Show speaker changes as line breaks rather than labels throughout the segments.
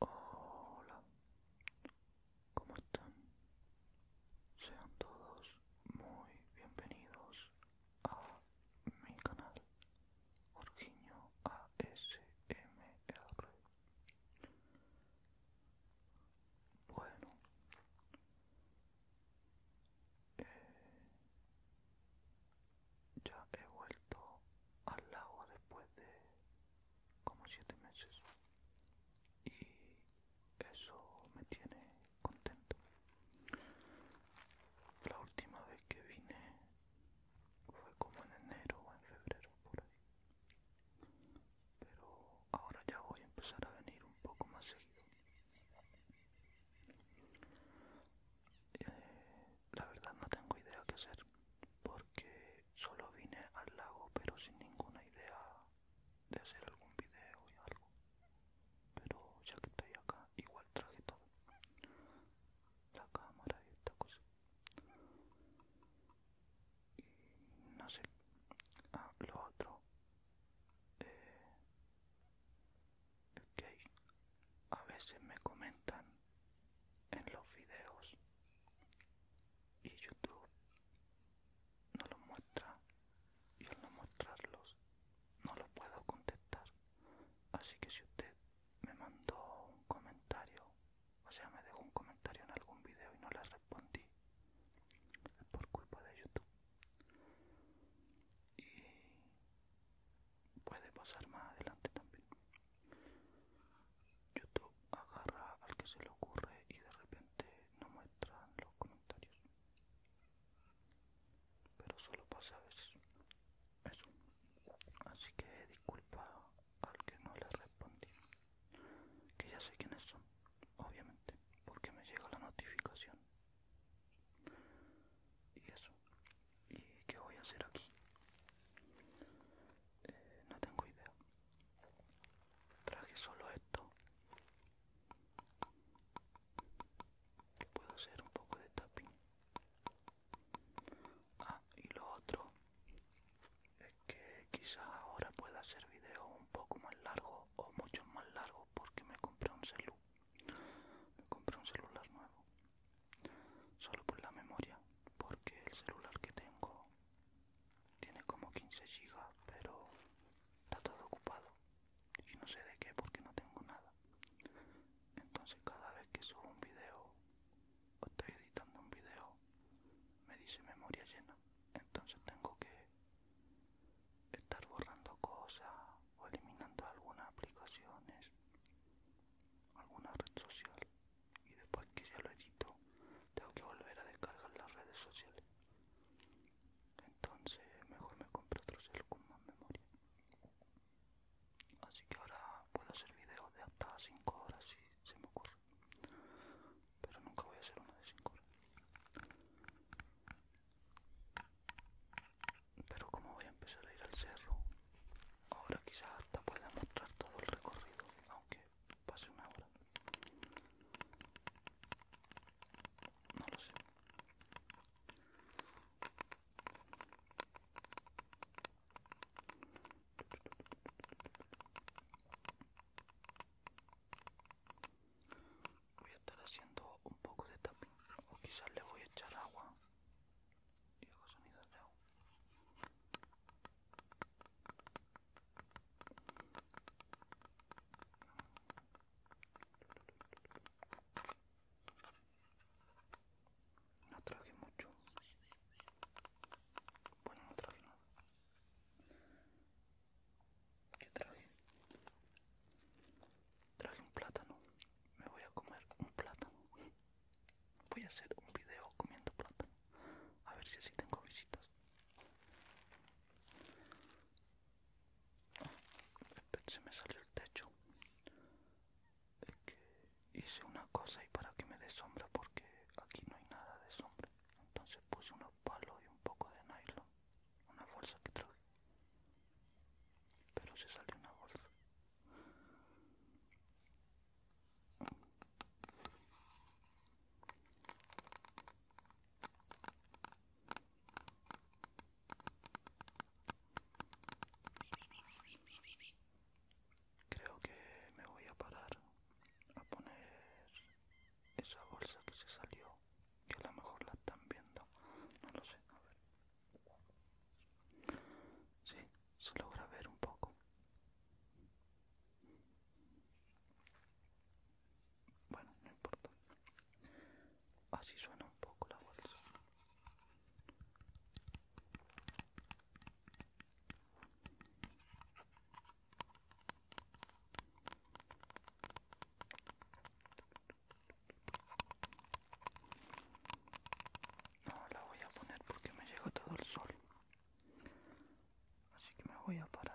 Hola, ¿cómo están? Sean todos muy bienvenidos a mi canal Jorginho ASMR. Bueno, eh, ya he vuelto al lago después de como siete meses y eso me tiene contento. La última vez que vine fue como en enero o en febrero por ahí. Pero ahora ya voy a empezar a venir un poco más seguido. Eh, la verdad no tengo idea qué hacer porque solo vine al lago pero sin ninguna idea de hacer algún video y algo pero ya que estoy acá igual traje todo la cámara y esta cosa y no sé ah, lo otro eh, ok a veces me comentan en los videos y YouTube no los muestra y al no mostrarlos no los puedo contestar así que si usted me mandó un comentario o sea me dejó un comentario en algún video y no le respondí es por culpa de YouTube y puede pasar más adelante también. YouTube agarra al que se le ocurre y de repente no muestra los comentarios. Pero solo pasa a veces. Eso. Así que disculpa al que no le respondí. Que ya sé quiénes son, obviamente, porque me llega la notificación y eso y qué voy a hacer aquí eh, no tengo idea traje solo esto puedo hacer un poco de tapping ah y lo otro es que quizás ahora pueda hacer videos un poco más largos o mucho más largos porque me compré un celular me compré un celular nuevo. Solo por la memoria, porque el celular que tengo tiene como 15 gb pero está todo ocupado. Y no sé de qué porque no tengo nada. Entonces cada vez que subo un video o estoy editando un video, me dice memoria llena. Entonces tengo que estar borrando cosas o eliminando algunas aplicaciones, alguna red social y después que ya lo edito tengo que volver a descargar las redes sociales. Entonces mejor me compro otro celular con más memoria. Así que ahora puedo hacer videos de hasta 5 horas si se me ocurre. Pero nunca voy a hacer uno de 5 horas. Pero como voy a empezar a ir al cerro, ahora quizás hasta pueda mostrar todo el recorrido, aunque pase una hora. No lo sé voy a estar haciendo un poco de tapping o quizás le voy a echar agua y hago sonido de agua no traje mucho bueno no traje nada ¿Qué traje? traje un plátano, me voy a comer un plátano. Voy a hacer un video comiendo plátano, a ver si así tengo visitas. Ah, se me salió el techo. Es que hice una cosa y para que me dé sombra porque aquí no hay nada de sombra. Entonces puse unos palos y un poco de nylon una bolsa que traje pero se salió una bolsa Creo que me voy a parar a poner esa bolsa que se salió que a lo mejor la están viendo, no lo sé, a ver. Sí, se logra ver un poco. Bueno, no importa. Así suena un poco la bolsa. No la voy a poner porque me llegó todo el sol. Así que me voy a parar.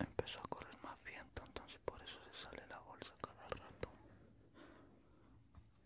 Empezó a correr más viento, entonces por eso se sale la bolsa cada rato.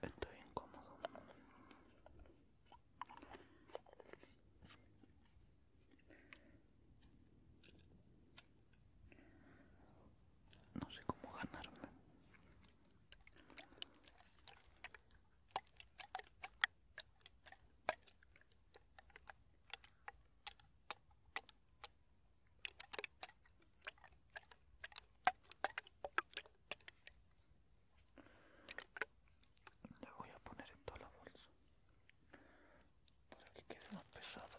Estoy incómodo. No sé cómo ganarme. Le voy a poner en toda la bolsa para que quede más pesado.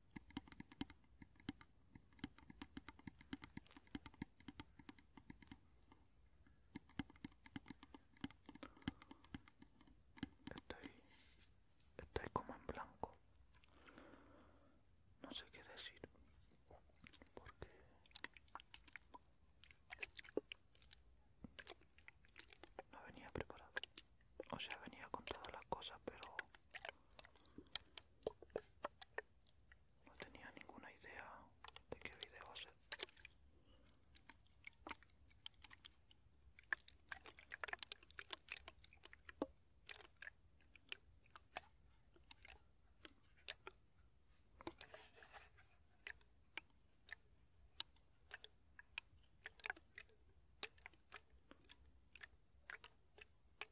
Estoy, estoy como en blanco. No sé qué decir. Porque... No venía preparado. O sea, venía con todas las cosas, pero no tenía ninguna idea de qué video hacer.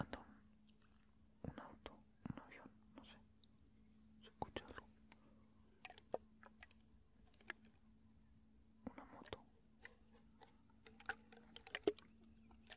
Anda un, auto, un avión, no sé. Se escucha algo. Una moto.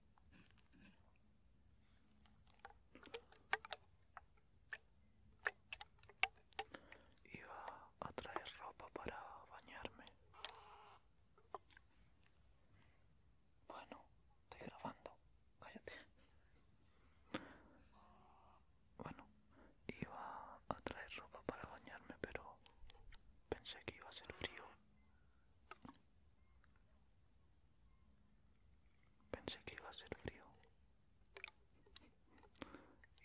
Iba a traer ropa para bañarme. Bueno, estoy grabando. Cállate. Bueno, iba a traer ropa para bañarme, pero pensé que iba a ser frío Pensé que iba a ser frío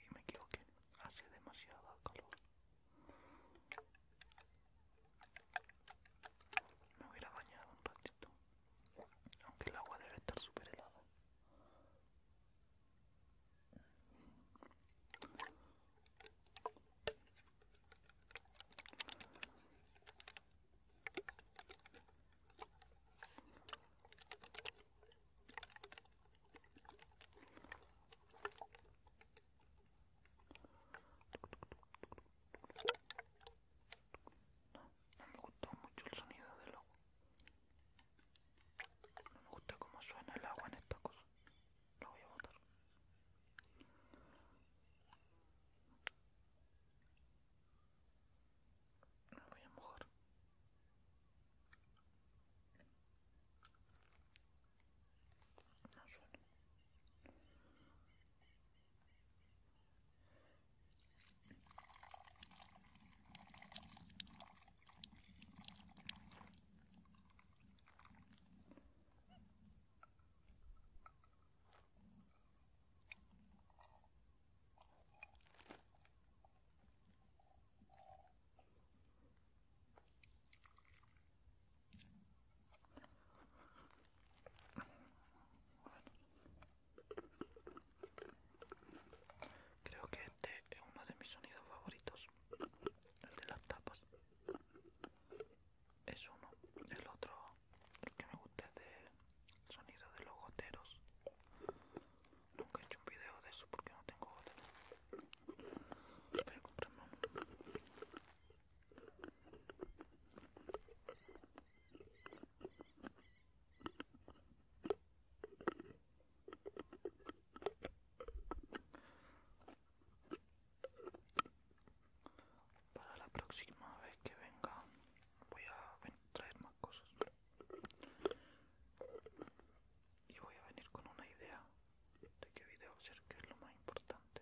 y me equivoqué, hace demasiado calor. Me hubiera bañado un ratito, aunque el agua debe estar super helada. No, me gustó mucho el sonido del agua. No me gusta cómo suena el agua en esta cosa. No voy a botar voy a mojar Creo que este es uno de mis sonidos favoritos. El de las tapas. Es uno. El otro, el que me gusta es de sonido de los goteros. Nunca he hecho un video de eso porque no tengo goteros. Para la próxima vez que venga voy a traer más cosas. Y voy a venir con una idea de qué video hacer, que es lo más importante.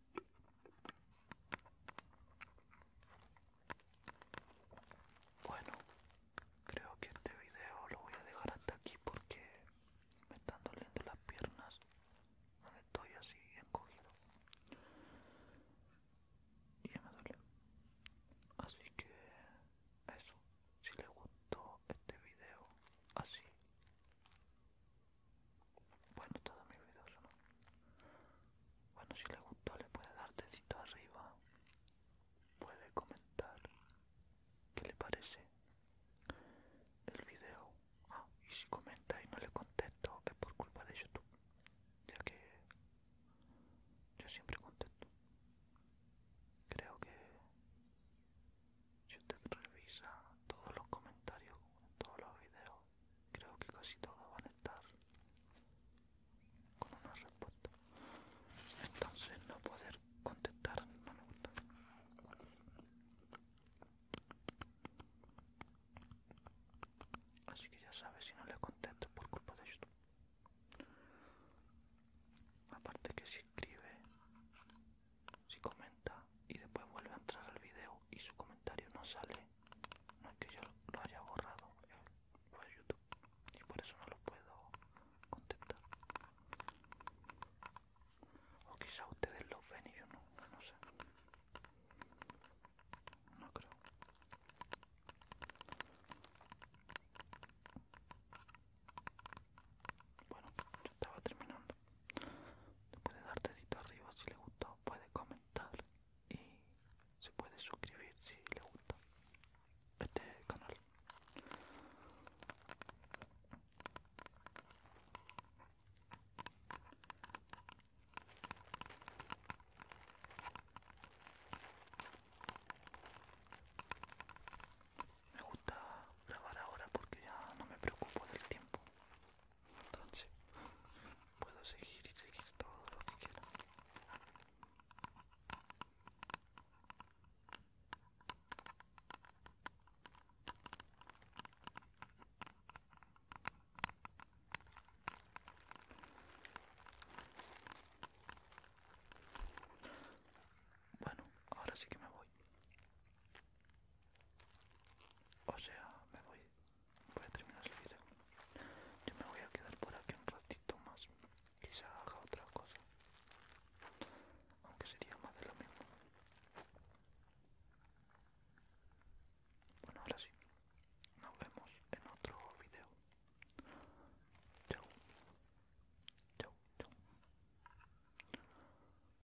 Bueno, creo que este video lo voy a dejar hasta aquí porque me están doliendo las piernas donde estoy así encogido y ya me duele. Así que eso, si les gustó este video así bueno, todo mi videos, ¿no? Bueno, si le gustó le puede dar arriba. Puede comentar qué le parece el video. Ah, y si comenta y no le contesto es por culpa de YouTube. Ya que yo siempre contesto. Creo que si revisa todos los comentarios, todos los videos, creo que casi todos van a estar con una respuesta entonces no poder contestar no me gusta así que ya sabes si no le contesto por culpa de YouTube aparte que si escribe si comenta y después vuelve a entrar al video y su comentario no sale no es que yo lo haya borrado, eh, fue YouTube y por eso no lo puedo contestar. O quizá ustedes lo ven y yo no, no sé. No creo. Bueno, yo estaba terminando le puede dar dedito arriba si le gustó puede comentar y se puede suscribir si le gusta este canal me gusta grabar ahora porque ya no me preocupo del tiempo entonces puedo seguir y seguir todo lo que quiera bueno, ahora sí que me voy o sea, me voy. Voy a terminar el video. Yo me voy a quedar por aquí un ratito más. Quizá haga otra cosa. Aunque sería más de lo mismo. Bueno, ahora sí. Nos vemos en otro video. Chau. Chau, chau.